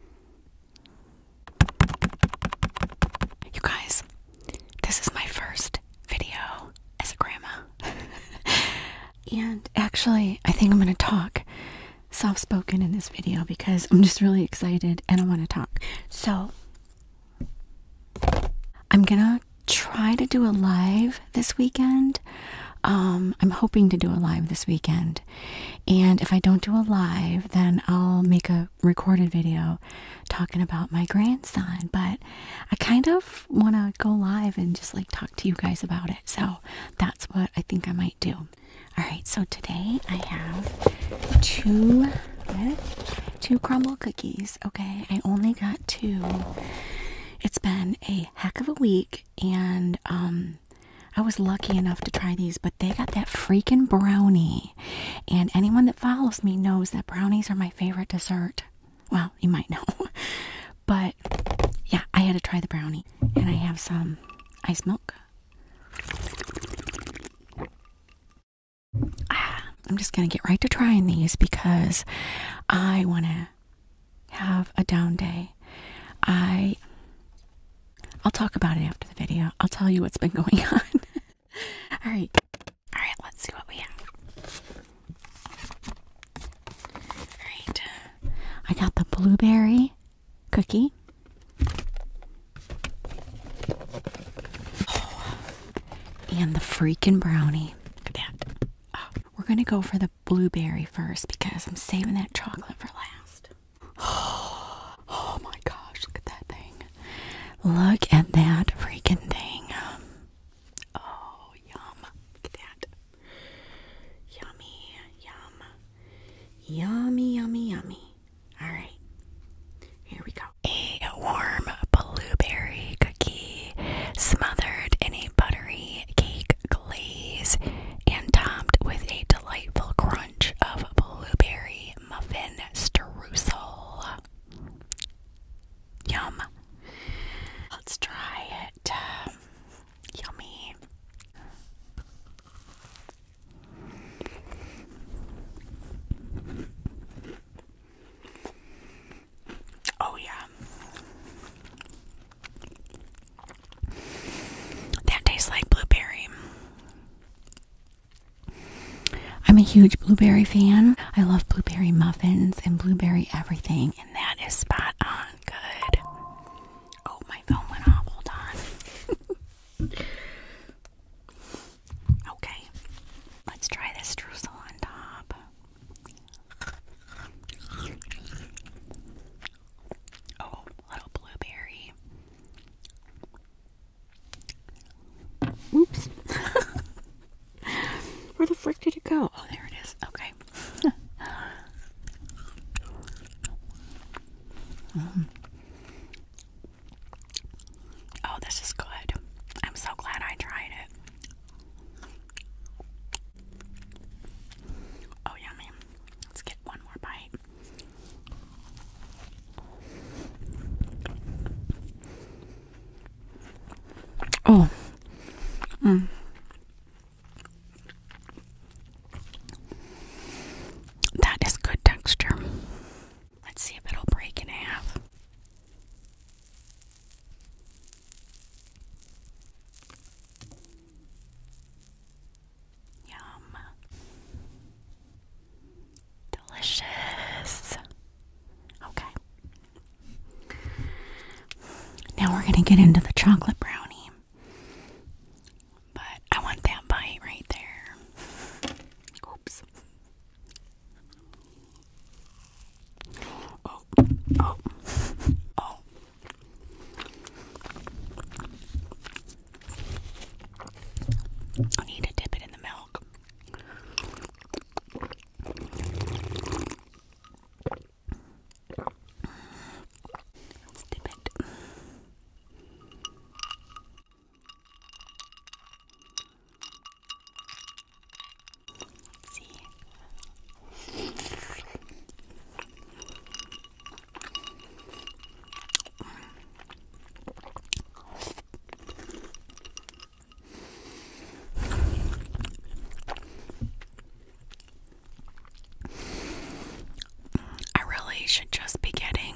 You guys, this is my first video as a grandma. and actually, I think I'm going to talk soft spoken in this video because I'm just really excited and I want to talk. So, I'm going to try to do a live this weekend. Um, I'm hoping to do a live this weekend. And if I don't do a live, then I'll make a recorded video talking about my grandson. But I kind of want to go live and just like talk to you guys about it. So that's what I think I might do. All right, so today I have two two crumble cookies. Okay, I only got two. It's been a heck of a week and um, I was lucky enough to try these, but they got that freaking brownie. And anyone that follows me knows that brownies are my favorite dessert. Well, you might know. but yeah, I had to try the brownie. And I have some ice milk. Ah, I'm just going to get right to trying these because I want to have a down day. I I'll talk about it after the video. I'll tell you what's been going on. all right. All right, let's see what we have. All right. Uh, I got the blueberry cookie. and the freaking brownie. Look at that. Oh, we're going to go for the blueberry first because I'm saving that chocolate for last. Oh, my gosh, look at that thing. Look at that freaking thing. Oh, yum. Look at that. Yummy, yum. Yummy, yummy, yummy. Alright, here we go. A warm blueberry cookie smothered in a buttery cake glaze and topped with a delightful crunch of blueberry muffin streusel. Yum. Let's try it. Yummy. Oh, yeah. That tastes like blueberry. I'm a huge blueberry fan. I love blueberry muffins and blueberry everything, and that is spot on good. Oh, my phone went off. Hold on. okay, let's try this streusel on top. Oh, little blueberry. Oops. Where the frick did it go? Oh, there it is. Okay. Oh, this is good. I'm so glad I tried it. Oh, yummy. Let's get one more bite. Oh. Mm. That is good texture. Let's see if it'll break in half. Yum. Delicious. Okay. Now we're going to get into the chocolate brownie. But I want that bite right there. Oops. Oh. Oh. I need to dip it in the milk. dip it. I really should just be getting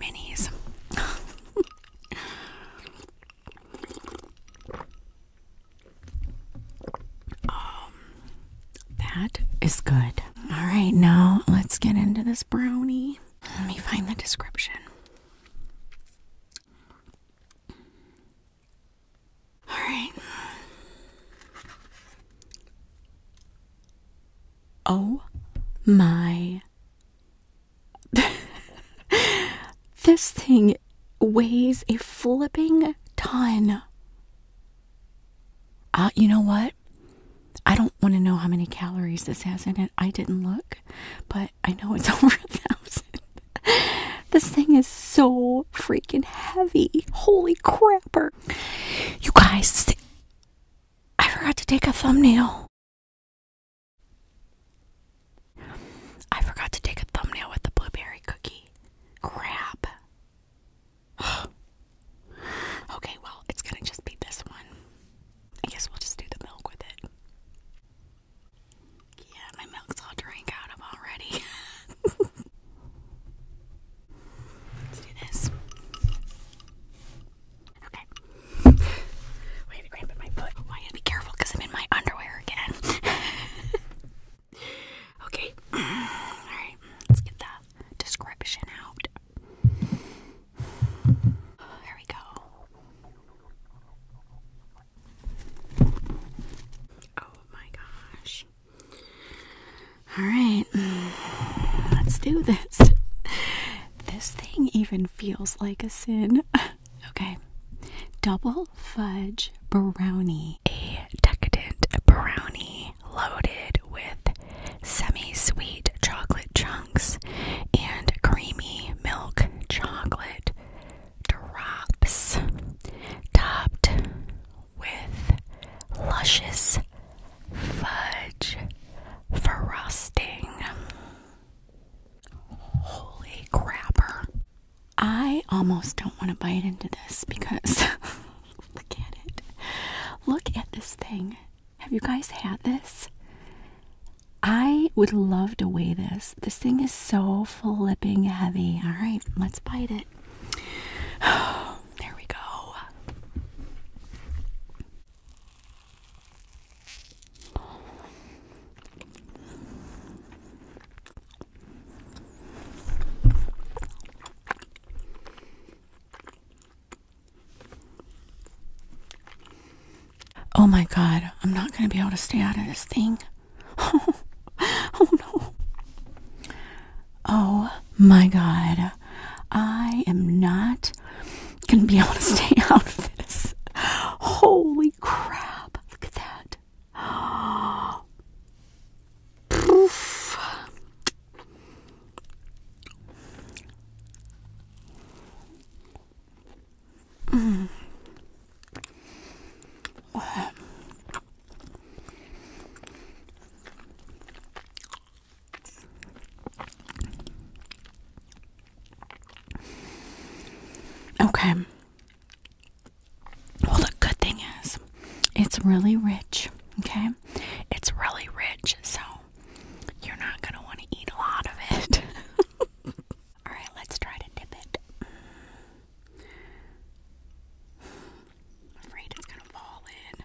minis. Um, that is good. All right, now let's get into this brownie. Let me find the description. All right. Oh my this thing weighs a flipping ton. Uh, you know what? I don't want to know how many calories this has in it. I didn't look, but I know it's over a thousand. this thing is so freaking heavy. Holy crapper. You guys, I forgot to take a thumbnail. I forgot to take a thumbnail with the blueberry cookie. Crap. okay, well, it's gonna just be this one. I guess we'll just do the milk with it. Yeah, my milk's all drank out of already. Let's do this. Okay. Wait, I my foot. Well, I gotta be careful because I'm in my underwear again. okay. Alright, let's get the description out. There we go. Oh my gosh. Alright, let's do this. This thing even feels like a sin. okay. Double fudge brownie. A decadent brownie loaded with semi sweet chocolate chunks and creamy milk chocolate drops, topped with luscious fudge frosting. Holy crapper. I almost don't want to bite into this because look at it. Look at this thing. Have you guys had this? I would love to weigh this. This thing is so flipping heavy. All right, let's bite it. there we go. Oh my god, I'm not going to be able to stay out of this thing. oh no. Oh my god. I am not going to be able to stay out of this. Holy crap. Look at that. Poof. Mm. Okay. Well, the good thing is, it's really rich. Okay? It's really rich, so you're not going to want to eat a lot of it. All right, let's try to dip it. afraid it's going to fall in.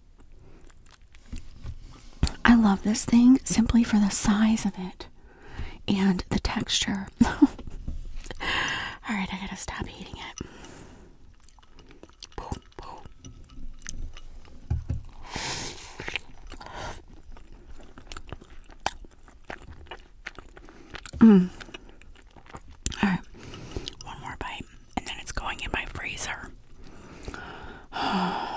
I love this thing simply for the size of it and the texture. All right, I gotta stop eating it. Boom, mm. All right, one more bite and then it's going in my freezer. Oh.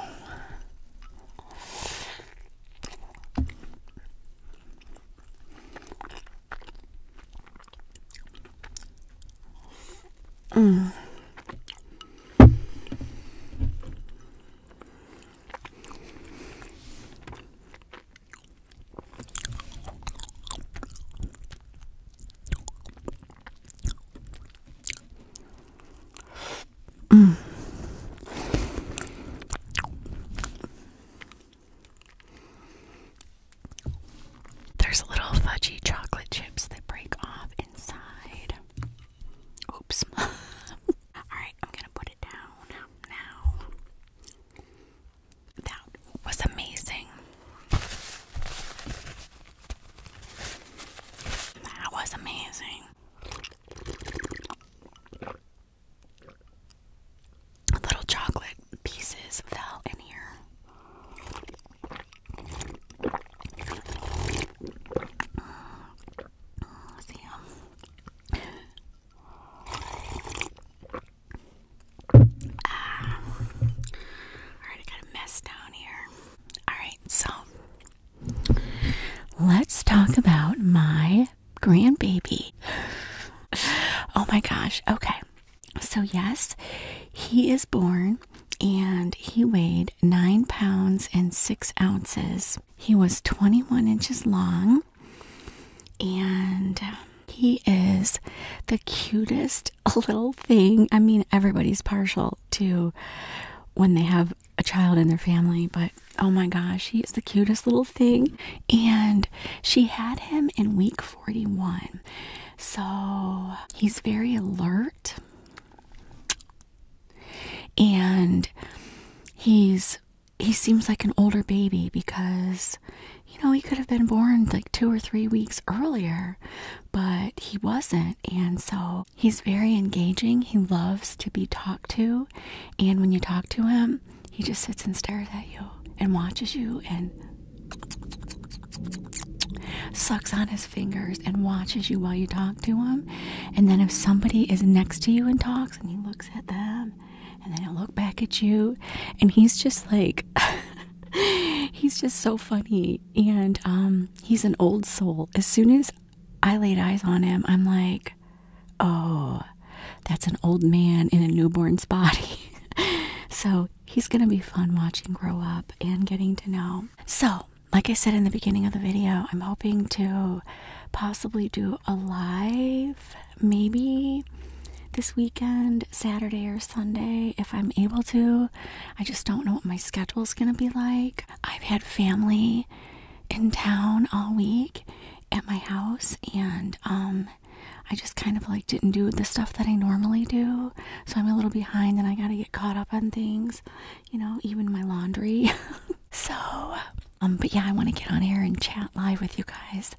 Mm. There's little fudgy chocolate chips that break off inside. Oops. Alright, I'm gonna put it down now. That was amazing. That was amazing. Little chocolate pieces fell in here. Mm, mm, see them? Um, uh, Alright, got a mess down here. Alright, so let's talk about my grandbaby. Oh my gosh, okay. So, yes, he is born and he weighed nine pounds and six ounces. He was 21 inches long and um, he is the cutest little thing. I mean, everybody's partial to when they have a child in their family, but oh my gosh, he is the cutest little thing. And she had him in week 41. So he's very alert and he's he seems like an older baby because you know, he could have been born like two or three weeks earlier, but he wasn't. And so he's very engaging. He loves to be talked to. And when you talk to him, he just sits and stares at you and watches you and sucks on his fingers and watches you while you talk to him. And then if somebody is next to you and talks and he looks at them and then I will look back at you and he's just like he's just so funny and um, he's an old soul as soon as i laid eyes on him i'm like oh that's an old man in a newborn's body so he's gonna be fun watching grow up and getting to know so like i said in the beginning of the video i'm hoping to possibly do a live maybe this weekend, Saturday or Sunday, if I'm able to. I just don't know what my schedule's going to be like. I've had family in town all week at my house and um I just kind of like didn't do the stuff that I normally do. So I'm a little behind and I got to get caught up on things, you know, even my laundry. so um, but yeah, I want to get on air and chat live with you guys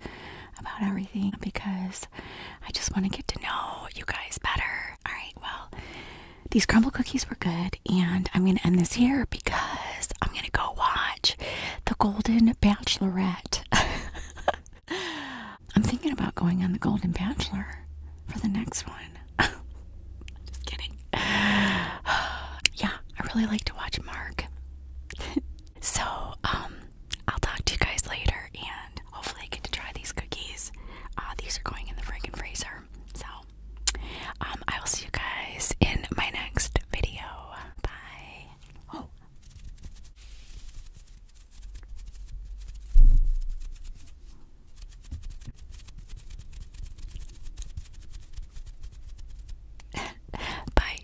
about everything because I just want to get to know you guys better. All right, well, these crumble cookies were good, and I'm going to end this here because I'm going to go watch The Golden Bachelorette. I'm thinking about going on The Golden Bachelor for the next one. just kidding. yeah, I really like to watch Mark. So, um, I'll talk to you guys later and hopefully I get to try these cookies. Uh, these are going in the freaking freezer. So, um, I will see you guys in my next video. Bye. Oh. Bye.